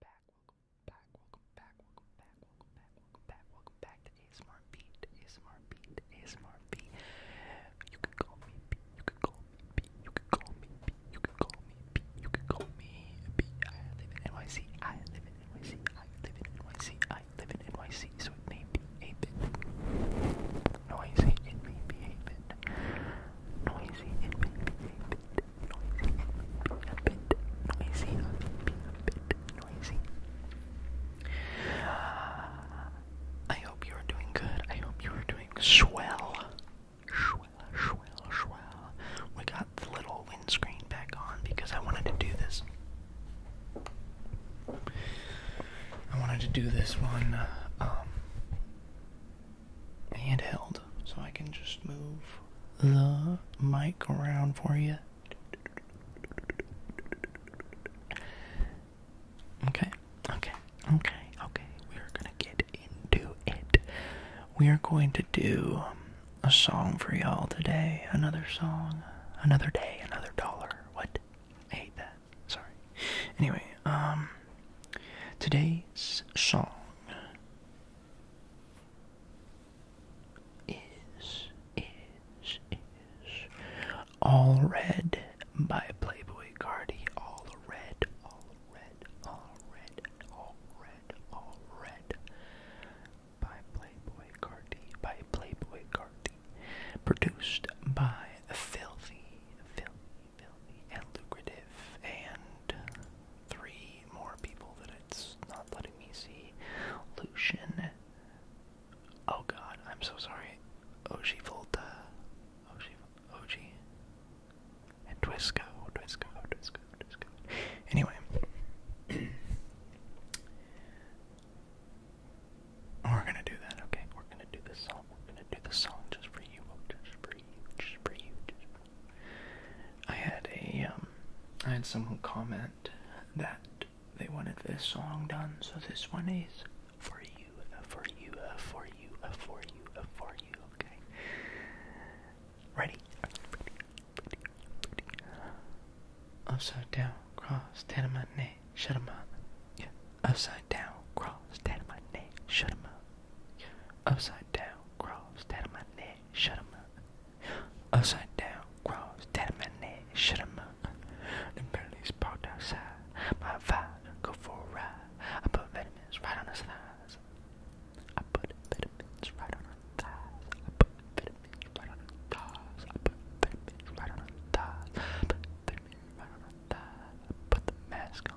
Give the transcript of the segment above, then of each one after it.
back, welcome back, welcome back, welcome back, welcome back, welcome back, welcome back, welcome back to ASMR Beat, ASMR Beat, ASMR Beat. You can call me B, you can call me B, you can call me B, you can call me B, you can call me B. I live in NYC, I live in NYC, I live in NYC, I live in NYC, so it may be A-Bit. Noisy, it may be A-Bit. Noisy, it may be A-Bit noisy. A bit noisy. A bit noisy. Ah, I hope you are doing good. I hope you are doing swell. Swell, swell, swell. We got the little windscreen back on because I wanted to do this. I wanted to do this one uh, um, handheld, so I can just move the mic around for you. Okay, okay, okay, okay. We're gonna get into it. We are going to do a song for y'all today. Another song, another day, another dollar. What? I hate that. Sorry. Anyway, um, today's song is is is all red by Playboy Cardi. All red, all red, all red, all red, all red by Playboy Cardi. By Playboy Cardi, produced by Filthy, Filthy, Filthy, and Lucrative, and three more people that it's not letting me see. Lucian. Oh god, I'm so sorry. Oji Volta. Oji. Oji. And Twisco. Twisco. Twisco. Twisco. Anyway. We're gonna do that, okay? We're gonna do this song. We're gonna do this song just for you. Just for you. Just for you. I had a um, had someone comment that they wanted this song done, so this one is for you, for you, for you, for you, for you. Okay, ready? Upside down, cross, down my neck, shut 'em up. upside down, cross, down my neck, shut 'em up. Upside down, cross, down my neck, shut him up. Upside down, cross, down my neck, shut him up. The Bentley's parked outside, my vibe, go for a ride. I put vitamins right on his thighs. I put vitamins right on her thighs. I put vitamins right on her thighs. I put vitamins right on her thighs. I put vitamins right on her thighs. I put the mask on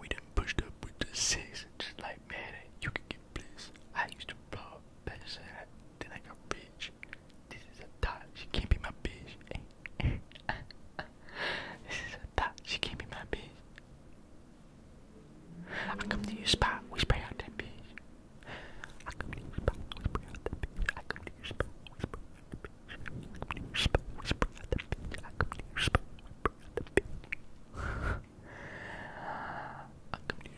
we done pushed up with the six, just like man, you can get bliss. I used to blow better than I got rich. This is a dot, she can't be my bitch. this is a dot, she can't be my bitch. I come to your spot, we spray out that bitch. I come to your spot, we spray out that bitch. I come to your spot, we spray out that bitch. I come to your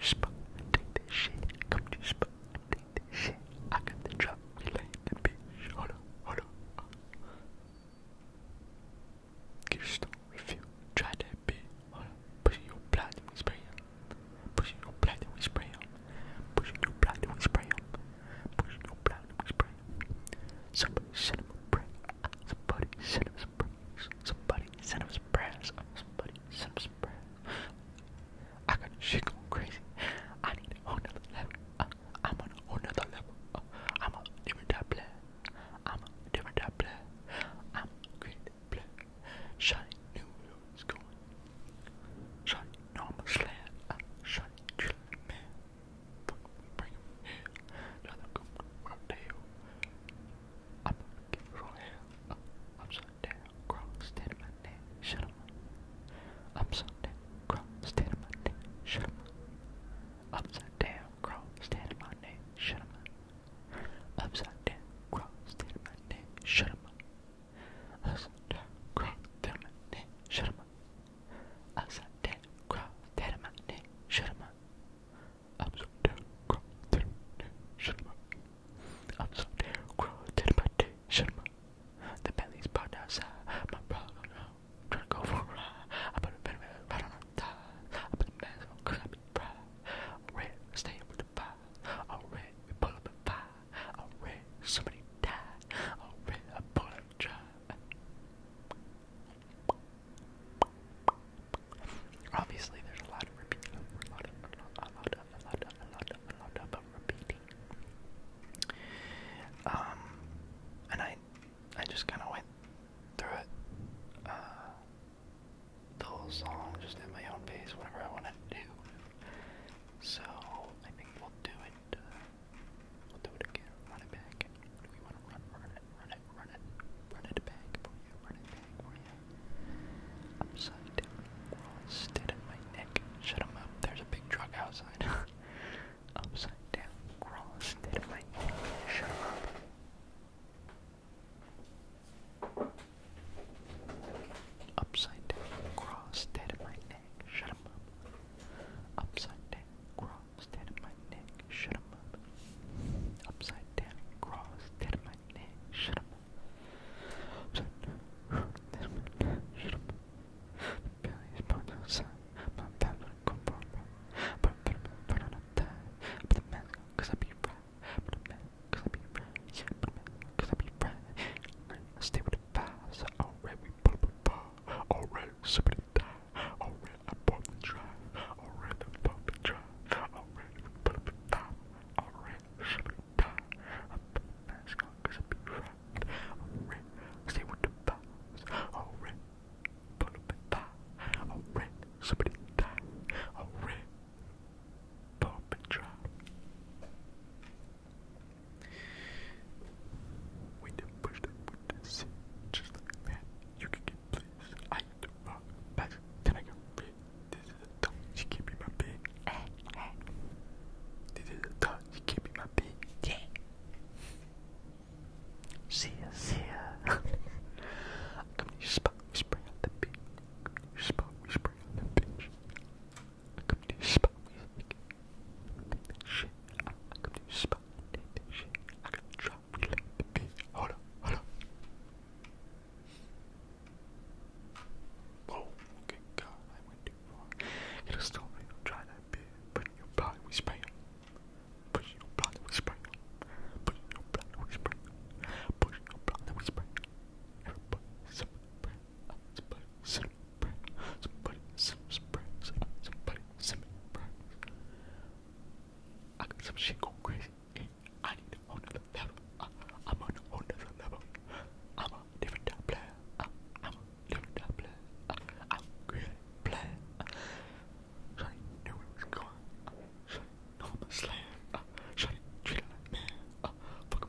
spot and take this shit. I come to your spot and take this shit. I got the drop, we lay the bitch. Hold up, hold up. Give your stone, refuse, try that bitch. Hold up, push your platinum experience. Pushing your blood we spray Pushing your blood we spray Pushing your blood we spray Somebody send a prayer. Somebody send him some Somebody send him some Somebody send him some I got shit going crazy. I need a level. Uh, I'm on a level. Uh, I'm a different type player. I'm a different type player. I'm a great player. Shiny new is going. Shite, no, I'm a slam. I shite, you man. Fuck, bring him here. Now they'll go right there. I'm gonna get from here. Uh, I'm so damn cross, stand my neck, shut up. Upside down, cross, stand my neck, shut up. Upside down, cross, stand my neck, shut up. Upside down, cross, stand my neck, shut up. Asante kra thermane sharma. Asante kra thermane sharma. Asante kra thermane sharma. Asante kra thermane sharma. The belly's part outside my problem now. Trying to go for a ride. I put a bit of right on the top. I put the mask on cause I be proud. Red, stay with the vibe. All red, we pull up and vibe. Obviously, there's a lot of repeating, a lot of, a lot of, a lot of, a lot of, a lot of, a lot of repeating. Um, and I, I just kind of went through it, uh, the whole song just at my own pace, whatever I wanted to do. So I think we'll do uh, we'll do it again, run it back. Do we want to run, run it, run it, run it, run it back for you, run it back for you? Upside down cross dead in my neck. Shut up, there's a big truck outside. Upside down crawl instead of my neck. Shut up. Upside down, cross, dead of my neck, shut 'em up. Upside down, cross, dead in my neck, shut 'em up. Upside down, cross, dead in my neck, shut 'em up. Upside down, dead in my neck, shut 'em up. My belly is born outside, my belly is born for a But I'm burn on a tie, put the mask on, cause I be right. Put a mask, cause I be right. Yeah, put a mask, cause I be right. Stay with fast. Alright, up a bar. Alright, somebody die. Alright, I bought the drive. Alright, I bought the drive. Alright, we up a bar. Alright, somebody die. I'm fast, cause I'll be right. Alright, stay with the bars. Alright, put up a bar. Alright, somebody die. Alright, pump and drive. We did push the wood to see. Just like man, you can get please. I do rock back. I go big? This is a dog, she can't be my big. this is a dog, she can't be my big. Yeah. See ya, see ya. Come to your spot, we spray out the beach. Come to your spot, we spray out the beach. I come to spot. come to your spot. Take that shit. Hold up. Hold up. Oh, okay, God, I went too far. It'll still me try that bit, but your body we spam. But in your body we spam. But in your body we spam. But in your body we spam. Everybody, somebody, Somebody send Somebody send Somebody send I got some shit going crazy. I need a level. I, am on a level. I'm a different type player. I, am a different type player. I, am a player. Shawty knew where going. Shawty know I'm a slam. man. Fuck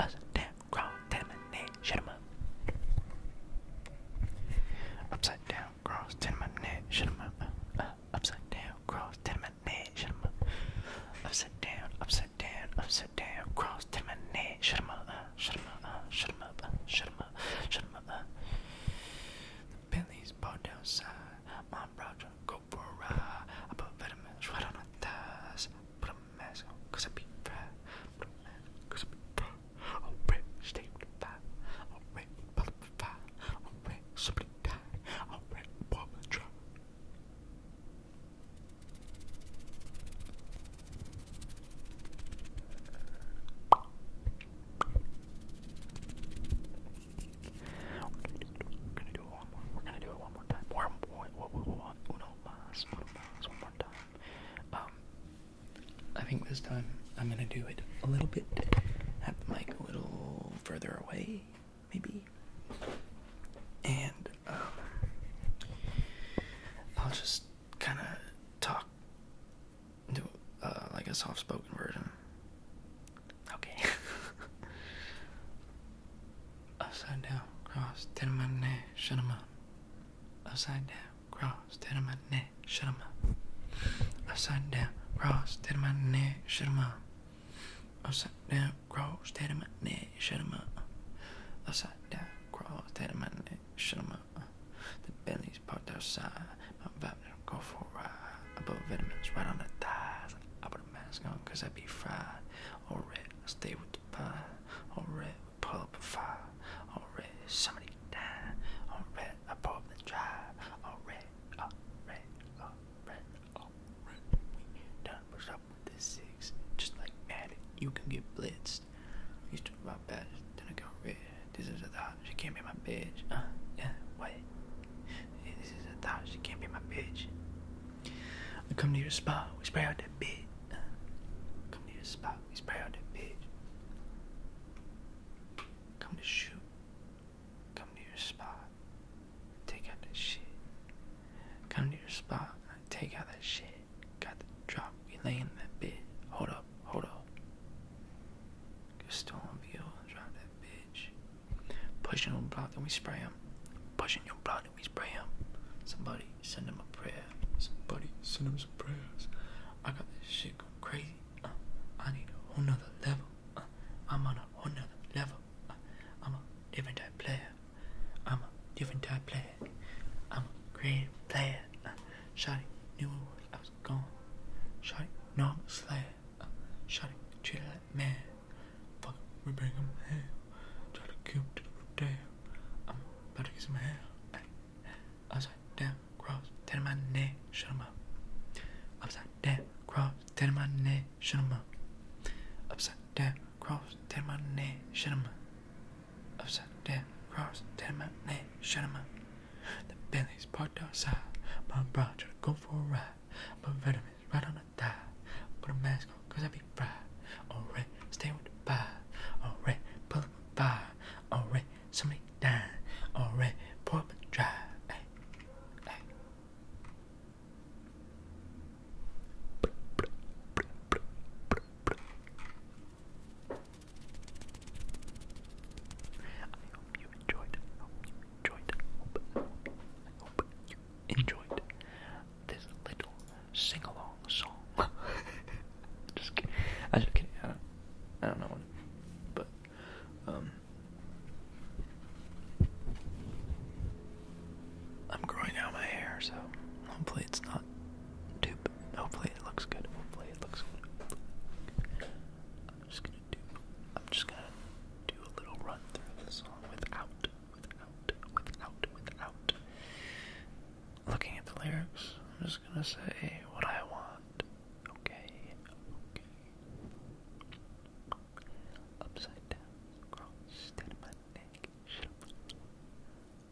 Us down, cross down my neck, shut him up. Upside down, cross down my neck, shut him up. Uh, upside down, cross down my neck, shut him up. Upside down, upside down, upside down, cross down my neck, shut him up. Uh, shut him up, uh, shut him up, uh, shut him up, shut him up. Uh. The Billy's ball downside, my brother go for a ride. I put vitamins right on her thighs, put 'em cause I be fair. Cause I be fair. I'll rip, stay I'll rip, pull I'll rip, somebody die. I'll rip, bomb We're gonna do it one more. We're gonna do it one more time. One, one, one, one, one, one, one, one, one more time. Um, I think this time I'm gonna do it a little bit, have the mic a little further away, maybe, and um, I'll just kind of talk, do uh, like a soft-spoken version. Okay. Upside down, cross, tenement, shut 'em Upside down, cross, down on my neck, shut him up. Upside down, cross, down on my neck, shut him up. Upside down, cross, down on my neck, shut him up. Upside down, cross, down on my neck, shut him up. The belly's parked outside, my vibe don't go for a ride. I put vitamins right on the thighs. I put a mask on cause I be fried. All red, I stay with the pie. All red, pull up a fire. All red, somebody die. All red, I pull up the drive. All red, all red, all red, all red. We done push up with the six. Just like Madden, you can get blitzed. I used to rob bad, then I got red. This is a thought, she can't be my bitch. Uh, yeah, what? This is a thought, she can't be my bitch. I come to your spot, we spray out that bitch. Uh, come to your spot out. He spray out that bitch. Come to shoot. Come to your spot. Take out that shit. Come to your spot. Take out that shit. Got the drop. You laying that bitch. Hold up. Hold up. You're Get stolen view and drop that bitch. Pushing your block. Then we spray him. Pushing your block. Why pray him? Somebody send him a prayer. Somebody send him some prayers. I got this shit going crazy. Uh, I need a whole nother level. Uh, I'm on a whole nother level. Uh, I'm a different type player. I'm a different type player. I'm a creative player. Uh, Shotty knew I was gone. Shotty, no, I'm a slayer. Uh, treated like man. Fuck, we bring him hell. Try to keep him to the death. I'm about to get some hair. Hey. Upside down, cross, ten in my neck, shut him up. Upside down, cross, ten in my neck, shut him up. Upside down, cross, ten in my neck, shut him up. Upside down, cross, ten in my neck, shut him up. The Bentley's parked outside, my bra trying to go for a ride. But veterans right on the thigh. Put a mask on, cause I happy pride. Alright, stand with the pie. Alright, pull up a pie. Alright, somebody dine. Alright, pour up a dry. Hey, hey. I hope you enjoyed. I hope you enjoyed. I hope, I hope you enjoyed this little sing along song. just kidding. I just kidding. I don't, know, but um, I'm growing out my hair, so hopefully it's not too. Hopefully it looks good. Hopefully it looks I'm just gonna do. a little run through the song without, without, without, without looking at the lyrics, I'm just gonna say what I want. Okay, okay. Upside down, cross, down my neck, shut up.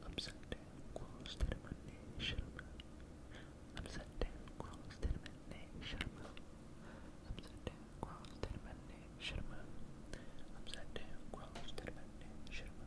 Upside down, cross, down my neck, shut up. Upside down, cross, down my neck, shut up. Upside down, cross, down my neck, shut up. Upside down, cross, down my neck, shut up.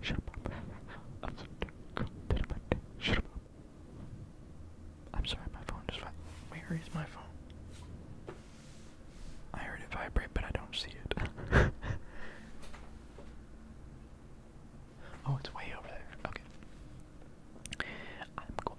Shut up. I'm sorry, my phone just went. Where is my phone? I heard it vibrate, but I don't see it. oh, it's way over there. Okay. I'm going